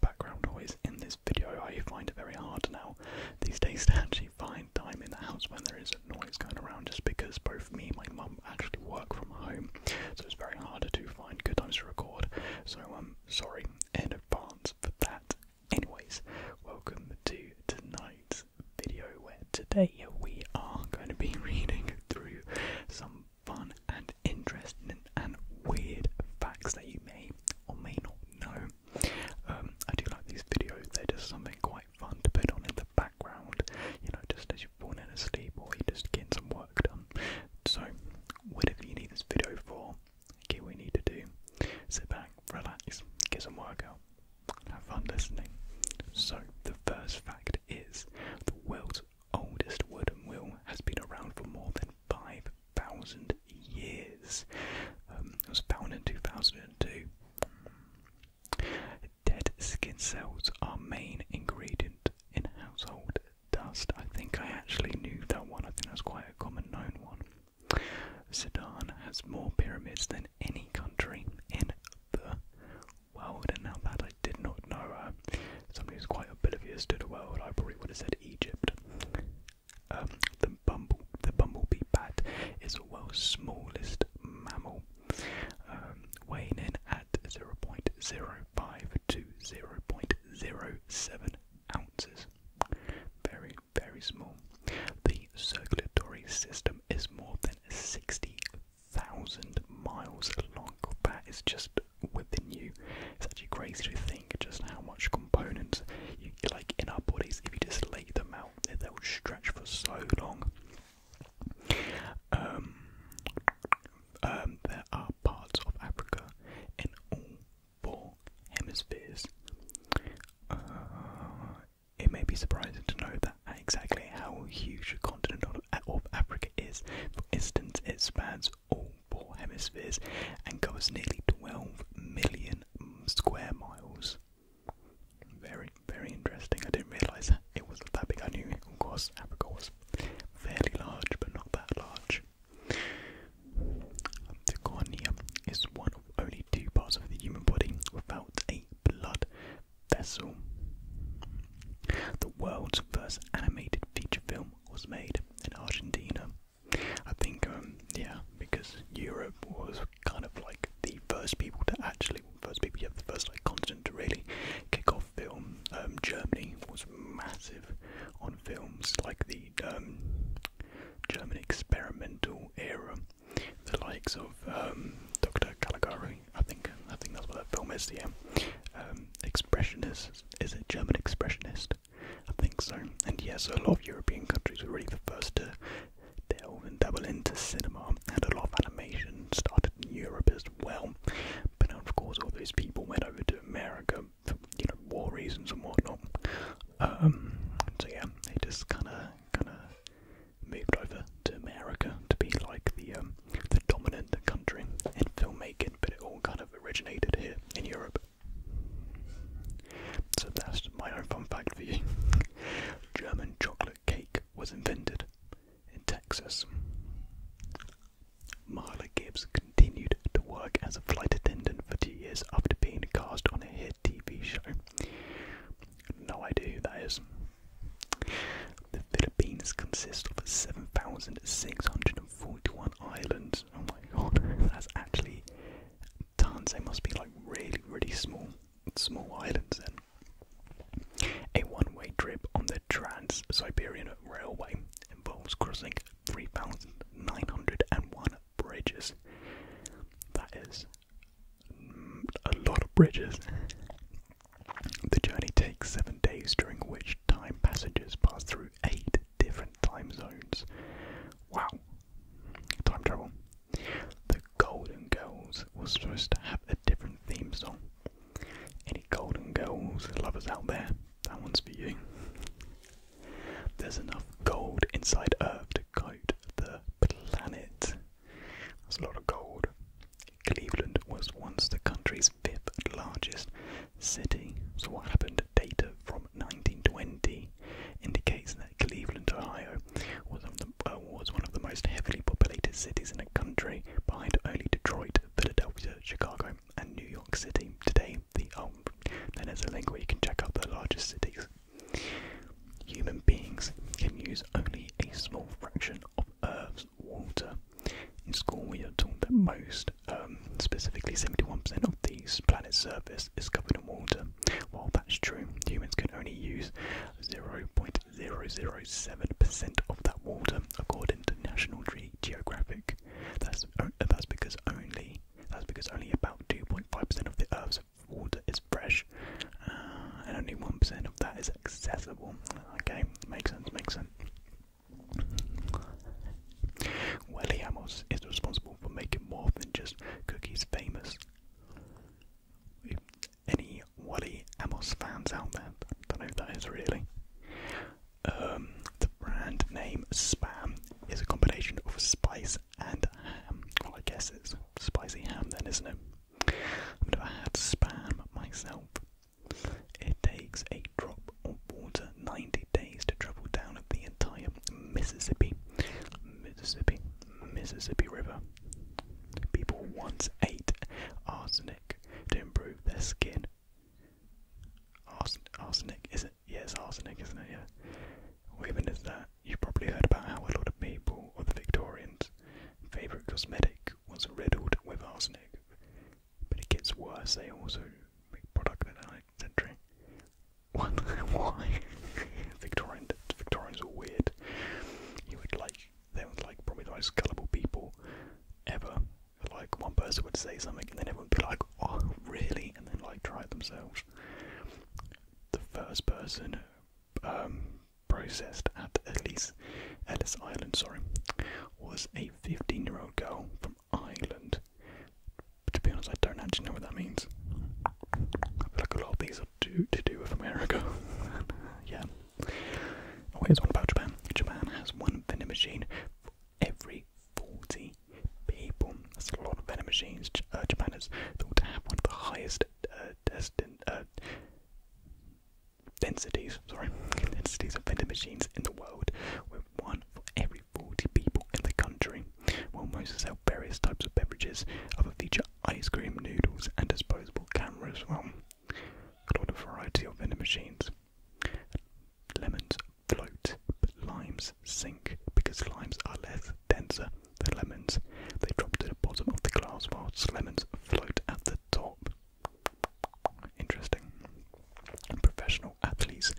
background noise in this video. I find it very hard now these days to actually find time in the house when there is a noise going around just because both me and my mum actually work from home. So it's very hard to find good times to record. So I'm um, sorry in advance for that. Anyways, welcome to tonight's video where today we are going to be reading through some fun and interesting and weird facts that you may or may not know. Um, I do like these videos, they're just something quite fun to put on in the background, you know, just as you're falling asleep or you're just getting some work done. So, whatever you need this video for, here we need to do. Sit back, relax, get some work out, have fun listening. So, the first fact is the world's oldest wooden wheel has been around for more than 5,000 years. Um, it was found in 2002. Dead skin cells are main ingredient in household dust. I think I actually knew that one. I think that's quite a common known one. Sudan has more pyramids than any country in the world, and now that I did not know, somebody who's quite a bit of oblivious to the world, I probably would have said Egypt. Um, the bumble, the bumblebee bat is the world's smallest mammal, um, weighing in at 0.05 to 0.07 ounces. Very, very small. The circulatory system is more than 60,000 miles long. That is just within you. It's actually crazy to think just how much components you like in our bodies. If you just lay them out, they will stretch for so long. Um, um, there are parts of Africa in all four hemispheres. Uh, it may be surprising to know that exactly how huge a continent of Africa is. For instance, it spans all four hemispheres and covers nearly 12 million square miles. Very, very interesting. I didn't realise it was that big. I knew, of course, Africa was fairly large, but not that large. The cornea is one of only two parts of the human body without a blood vessel. The world's first animated feature film was made in Argentina. I think, um, yeah, because Europe was kind of like the first people to actually, first people, yeah, the first like continent to really kick off film. Um, Germany was massive on films like the um, German experimental era, the likes of Dr. Caligari. I think I think that's what that film is. Yeah, um, expressionists is, a German expressionist. I think so. And yes, a lot of European countries were really the first to delve and dabble into cinema, and a lot of animation started in Europe as well. But of course, all those people went over to America for you know war reasons and whatnot. Um, so yeah, they just kind of kind of moved over to America to be like the um, the dominant country in filmmaking but it all kind of originated here in Europe. So that's my own fun fact for you. German chocolate cake was invented in Texas. Marla Gibbs continued to work as a flight attendant for two years after being cast on a hit TV show. No idea who that is. The Philippines consist of 7,641 islands. Oh my god, that's actually tons. They must be like really, really small, small islands then. A one-way trip on the Trans-Siberian Railway involves crossing 3,901 bridges. That is mm, a lot of bridges. The journey takes seven days, during which time passengers pass through eight different time zones. Wow, time travel. The Golden Girls was supposed to have a different theme song. Any Golden Girls lovers out there? That one's for you. There's enough gold inside Earth to coat the planet. That's a lot of gold. Cleveland was once the country's fifth largest city. So, what happened? Data from 1920 indicates that Cleveland, Ohio, uh, was one of the, most heavily populated cities in the country, behind only Detroit, Philadelphia, Chicago, and New York City. Today, the um, then there's a link where you can check out the largest cities. Human beings can use only a small fraction of Earth's water. In school, we are taught that most, um, specifically 71% of the planet's surface, is covered in water. While that's true, humans can only use 0.007% of that water, according to National Geographic. That's uh, that's because only that's because only about 2.5% of the Earth's water is fresh, uh, and only 1% of that is accessible. Okay, makes sense. Makes sense. Wally Amos is responsible for making more than just cookies famous. any Wally Amos fans out there, I don't know who that is really. Um, the brand name Spam is a combination of spice and ham. Well, I guess it's spicy ham then, isn't it? I've never had Spam myself, it takes a drop of water 90 days to travel down the entire Mississippi, Mississippi, Mississippi River. People once ate arsenic to improve their skin. arsenic, is it? Yes, arsenic, isn't it? Yeah. Or even is that? You've probably heard about how a lot of people, or the Victorians, favourite cosmetic was riddled with arsenic. But it gets worse, they also make product that I century. What? Why? Victorian, Victorians are weird. You would like, they were like probably the most gullible people ever. Like one person would say something and then everyone would be like, oh, really? And then like try it themselves. The first person, um, processed at Ellis, Ellis Island, sorry, was a 15-year-old girl from Ireland. But To be honest, I don't actually know what that means. But I feel like a lot of these are to, do with America. yeah. Oh, here's one about Japan. Japan has one vending machine for every 40 people. That's a lot of vending machines. Uh, Japan is thought to have one of the highest uh, destin- uh, densities, sorry, densities of vending machines in the world, one for every 40 people in the country. Will mostly sell various types of beverages, other feature ice cream, noodles, and disposable cameras. Well, quite a variety of vending machines. Lemons float, but limes sink because limes are less denser than lemons. They drop to the bottom of the glass, whilst lemons float at the top. Interesting. Professional athletes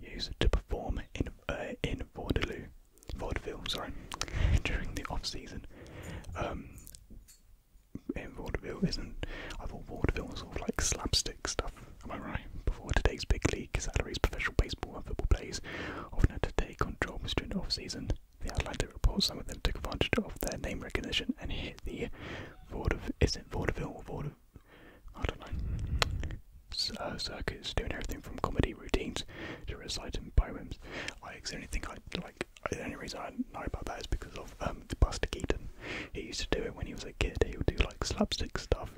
used to perform in uh, in vaudeville, vaudeville, sorry, during the off season. Um, in vaudeville isn't. I thought vaudeville was sort of like slapstick stuff. Am I right? Before today's big league salaries, professional baseball and football players often had to take on jobs during the off season the Outlander reports some of them took advantage of their name recognition and hit the vaudeville, is it vaudeville or I don't know. Uh, doing everything from comedy routines to reciting poems. I actually think I like. The only reason I know about that is because of um, Buster Keaton. He used to do it when he was a kid. He would do like slapstick stuff,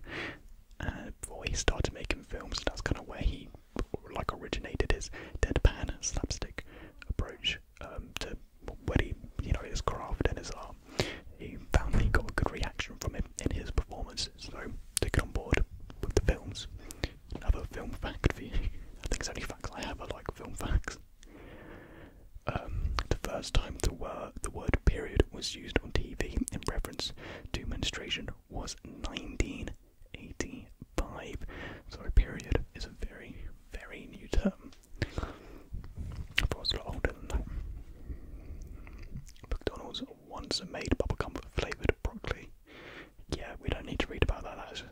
before he started making films, that's kind of where he like originated his deadpan slapstick approach um, to where he, you know, his craft and his art. He found he got a good reaction from it in his performances, so take it on board with the films. Another film fact for you. I think it's only facts I have are like film facts. Um, the first time the word period was used on TV in reference to menstruation was 1985. So period is a very, very new term. I thought it was a lot older than that. McDonald's once made bubble gum flavoured broccoli. Yeah, we don't need to read about that.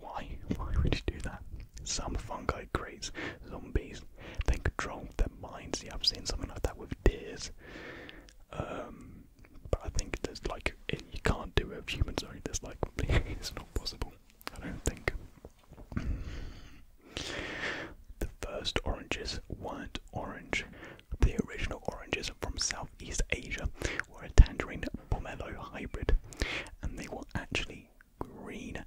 why? Why would you do that? Some fungi creates zombies. They control their minds. Yeah, I've seen something like that with deers. Um, but I think there's like you can't do it with humans. Only there's like it's not possible. I don't think. the first oranges weren't orange. The original oranges from Southeast Asia were a tangerine pomelo hybrid, and they were actually green.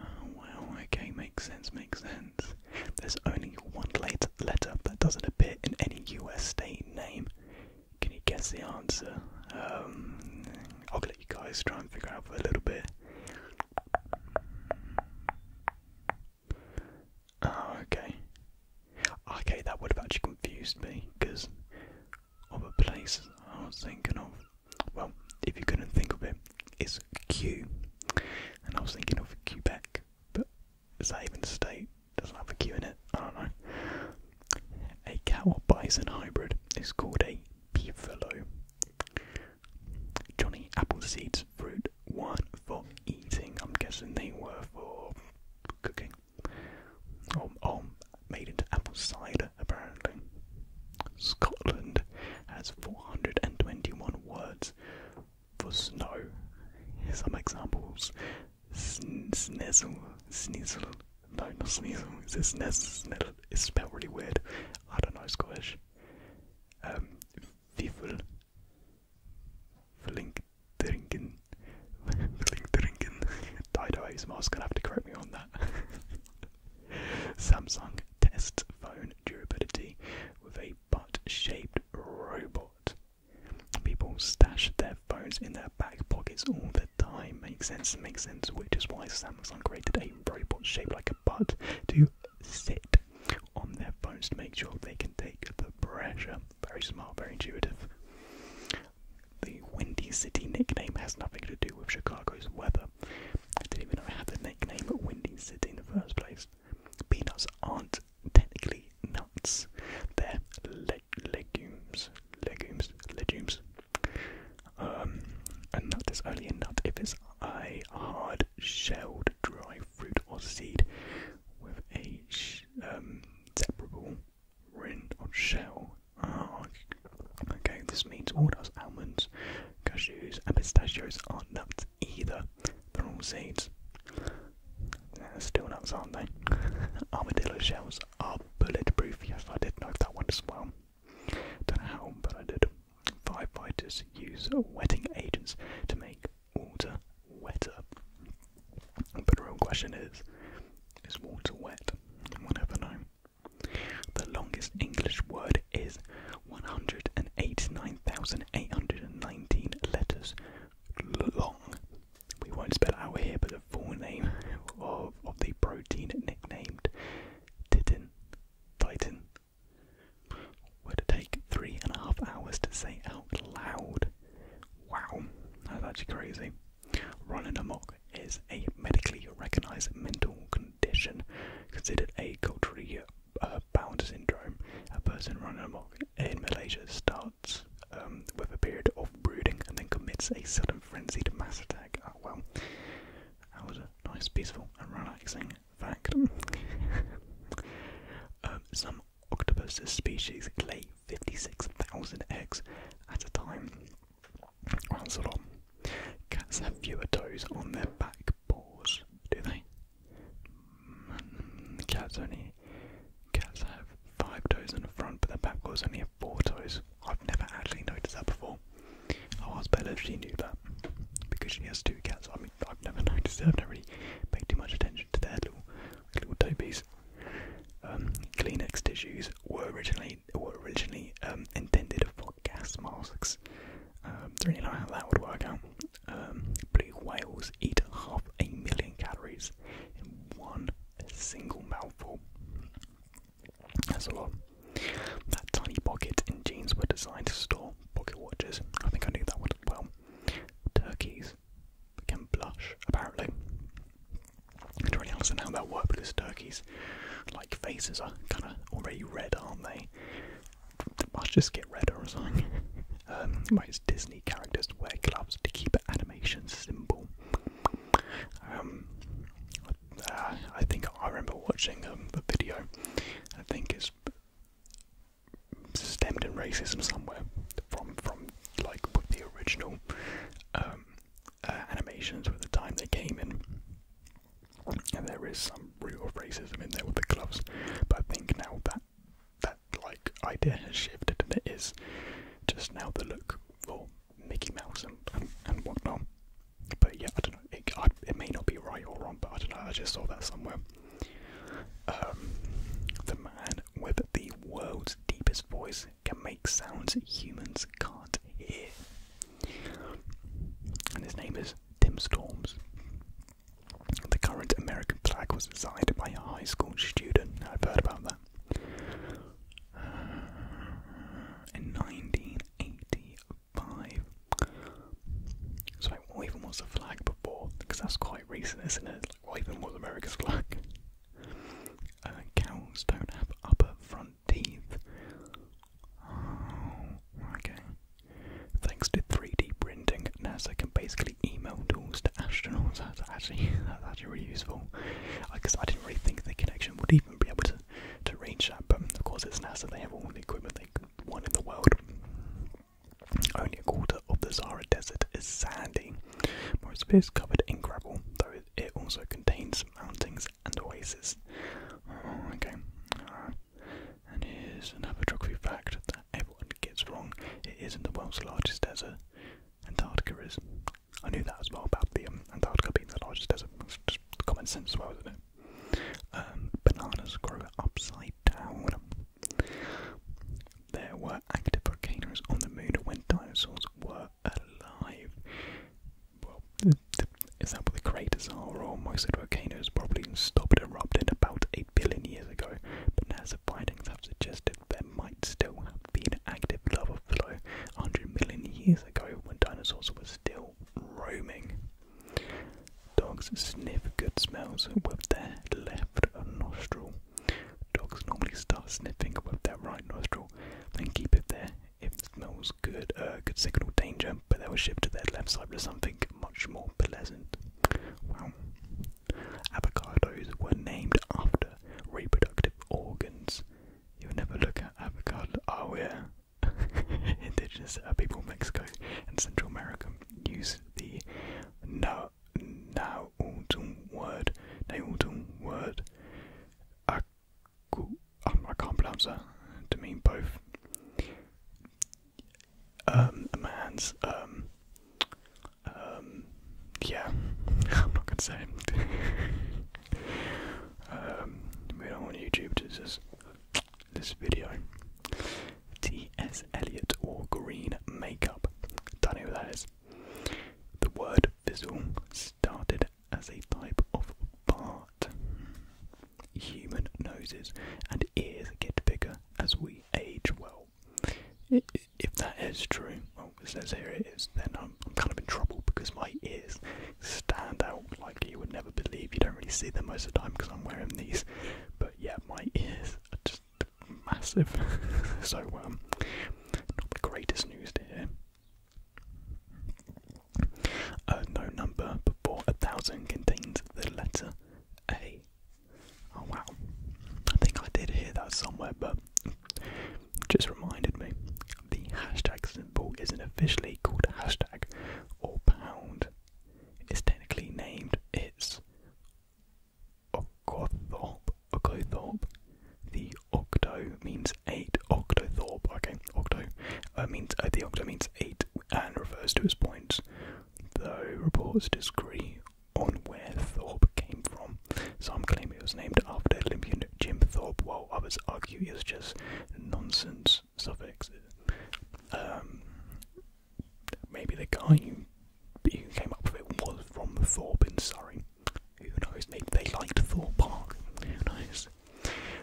Oh, okay, makes sense, makes sense. There's only one late letter that doesn't appear in any US state name. Can you guess the answer? Um, I'll let you guys try and figure out for a little bit. Oh, okay. Ah, okay, that would have actually confused me because of a place I was thinking of. Well, if you couldn't think of it, it's Q. And I was thinking of Quebec, but is that even a state? doesn't have a Q in it. I don't know. A cow bison hybrid is called a beefalo. Johnny Appleseed's fruit one for eating. I'm guessing they were for cooking. Or, or made into apple cider, apparently. Scotland has 421 words for snow. Some examples Sn snizzle, No, not sneasel. It's a sniz It's spelled really weird. I don't know Scottish. Vivel. Um, Flink drinking. Flink drinking. Dido ASMR's gonna have to correct me on that. Samsung tests phone durability with a butt shaped robot. People stash their phones in their back pockets all the the time. Makes sense, makes sense, which is why Samsung created a robot shaped like a butt to sit on their phones to make sure they can take the pressure. Very small, very intuitive. The Windy City nickname has nothing to do with Chicago's weather. I didn't even know I had the nickname Windy City in the first place. Peanuts aren't technically they're legumes, legumes, legumes. Um, and that is only a nut if it's a hard-shelled dry fruit or seed with a um, separable rind or shell. Ah, okay, this means all those almonds, cashews, and pistachios aren't nuts either. They're all seeds. That's are nuts, aren't they? Armadillo shells are bulletproof. Yes, I did know that one as well. Don't know how, but I did. Firefighters use wetting agents to make water wetter. But the real question is, is water wet? We'll never know. The longest English word is 189,819 letters long we won't spell it out here, but the full name of, of the protein nicknamed Titan Titan would take three and a half hours to say out loud. Wow, that's actually crazy. Running amok is a medically recognized mental condition considered a culturally uh, bound syndrome. A person running amok in Malaysia starts um, with a period of brooding and then commits a sudden frenzied mass attack. Oh, well, that was a nice, peaceful, and relaxing fact. Um, some octopus species lay 56,000 eggs at a time. that's a lot. Cats have fewer toes on their back paws, do they? Mm, cats only me. Cats have five toes in the front, but the Babcock's only have four toes. I've never actually noticed that before. i was, ask if she knew that, because she has two cats. I mean, I've never noticed it. I've never really paid too much attention to their little, little toepiece. Um, Kleenex tissues were originally were originally um, intended for gas masks. Um, i don't really know how that would work out. Um, blue whales eat half a million calories in one a single mouthful. That's a lot. That tiny pocket in jeans were designed to store pocket watches. I think I need that one well. Turkeys can blush, apparently. I don't really understand how that works because turkeys, like faces, are kind of already red, aren't they? They must just get redder or something. Um, Disney characters wear gloves to keep animation simple. Um, uh, I think I remember watching um, a video, I think it's stemmed in racism somewhere from from like with the original um, uh, animations with the time they came in. And there is some real racism in there with the gloves, but I think now that that like idea has shifted and it is just now the look for Mickey Mouse and, and, whatnot. But yeah, I don't know. It, may not be right or wrong, but I don't know. I just saw that somewhere. Um, the man with the world's deepest voice can make sounds humans can't hear, and his name is Tim Storms. The current American flag was designed by a high school student. I've heard about that in 1985. So, like, was the flag before? Because that's quite recent, isn't it? Like, what was America's flag? Uh, cows don't have upper front teeth. Oh, okay. Thanks to 3D printing, NASA can basically email tools to astronauts actually that's actually really useful because I didn't really think the connection would even be able to to reach that. But of course, it's NASA; they have all the equipment they want in the world. Only a quarter of the Sahara Desert is sandy, most of it is covered in gravel, though it also contains mountains and oases. Oh, okay. Uh, and here's another geography fact everyone gets wrong. It isn't the world's largest desert. Antarctica is. I knew that as well about the um, Antarctica being the largest desert. common sense as well, not it? Um, bananas grow upside down. There were active volcanoes on the moon when dinosaurs were alive. Well, is that what the craters are, or most of the volcanoes probably stopped erupting about 8 billion years ago? But NASA findings have suggested there might still have been active lava below 100 million years ago when dinosaurs were still roaming. Dogs sniff good smells with their left nostril. Dogs normally start sniffing with their right nostril, then keep it there if it smells good, A uh, good signal danger, but they were shifted to their left side to something much more pleasant. Avocados were named after reproductive organs. you never look at avocado. Oh, yeah. Indigenous uh, people in Mexico and Central America used the now now word Nautun word Aku I can't pronounce that to mean both um a man's um um, yeah, I'm not gonna say it. um, we don't want YouTube to just this video. T.S. Eliot or green makeup. Don't know who that is. The word fizzle started as a type of fart. Human noses and ears get bigger as we age well if that is true, well, it says here it is, then I'm, kind of in trouble because my ears stand out like you would never believe. You don't really see them most of the time because I'm wearing these, but yeah, my ears are just massive. so, um, not the greatest news to hear. Uh, no number before a thousand contains the letter A. Oh wow. I think I did hear that somewhere, but just reminded me. The hashtag symbol isn't officially called hashtag or pound. It's technically named its Okothorp. Okothorp. The octo means eight. Octothorpe. Okay, octo uh, means uh, the octo means eight and refers to its points. Though reports disagree on where Thorpe came from. Some claim it was named after Olympian Jim Thorpe, while others argue it was just nonsense suffixes. Um, maybe the guy who came up with it was from Thorpe in Surrey. Who knows? Maybe they liked Thorpe Park. Who knows?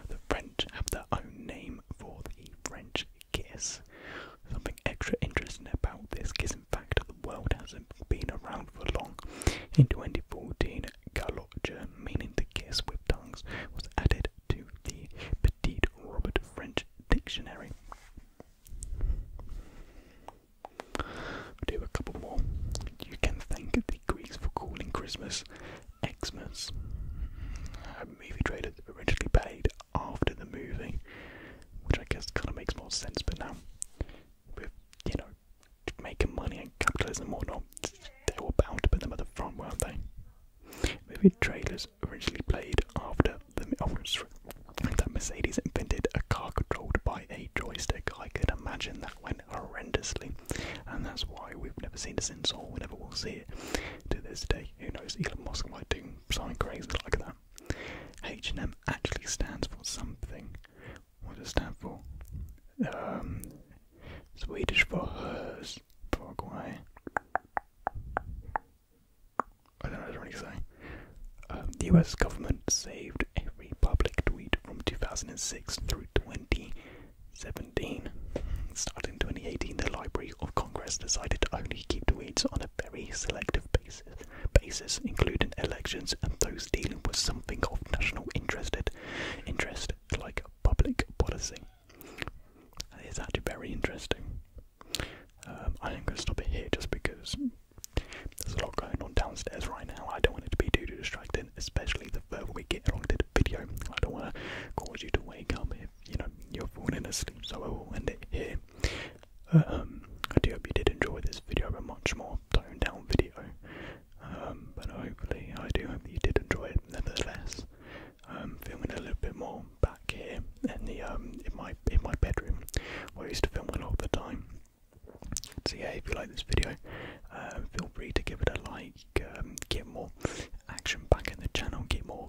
The French have their own name for the French kiss something extra interesting about this is in fact the world hasn't been around for long. In 2014, galotche, meaning the kiss with tongues, was added to the Petit Robert French Dictionary. do a couple more. You can thank the Greeks for calling Christmas Xmas. A movie trailers originally paid after the movie, which I guess kind of makes more sense. But now, with you know, making money and capitalism or not, they were bound to put them at the front, weren't they? Movie trailers originally played after the oh, sorry, that Mercedes invented a car controlled by a joystick. I could imagine that went horrendously, and that's why we've never seen it since, or we never will see it to this day. Who knows? Elon Musk might do something crazy like that. H&M. actually stands for something. What does it stand for? Um, Swedish for hers, Paraguay. I don't know, I do say. Um, the US government saved every public tweet from 2006 through 2017. Starting 2018, the Library of Congress decided to only keep tweets on a very selective basis basis, basis, including elections and those dealing with something of national interested interest, like public policy. It's actually very interesting. Um, I am going to stop it here just because there's a lot going on downstairs right now. I don't want it to be too, distracting, especially the further we get along to the video. I don't want to cause you to wake up if you know you're falling asleep. So I will end it here. Um, I do hope you did enjoy this video, a much more toned down video. Um, but hopefully, I do hope that you did enjoy it nevertheless. Um, filming a little bit more back here in the um in my in my bedroom where I used to film a lot of the time. So yeah, if you like this video, uh, feel free to give it a like. Um, get more action back in the channel. Get more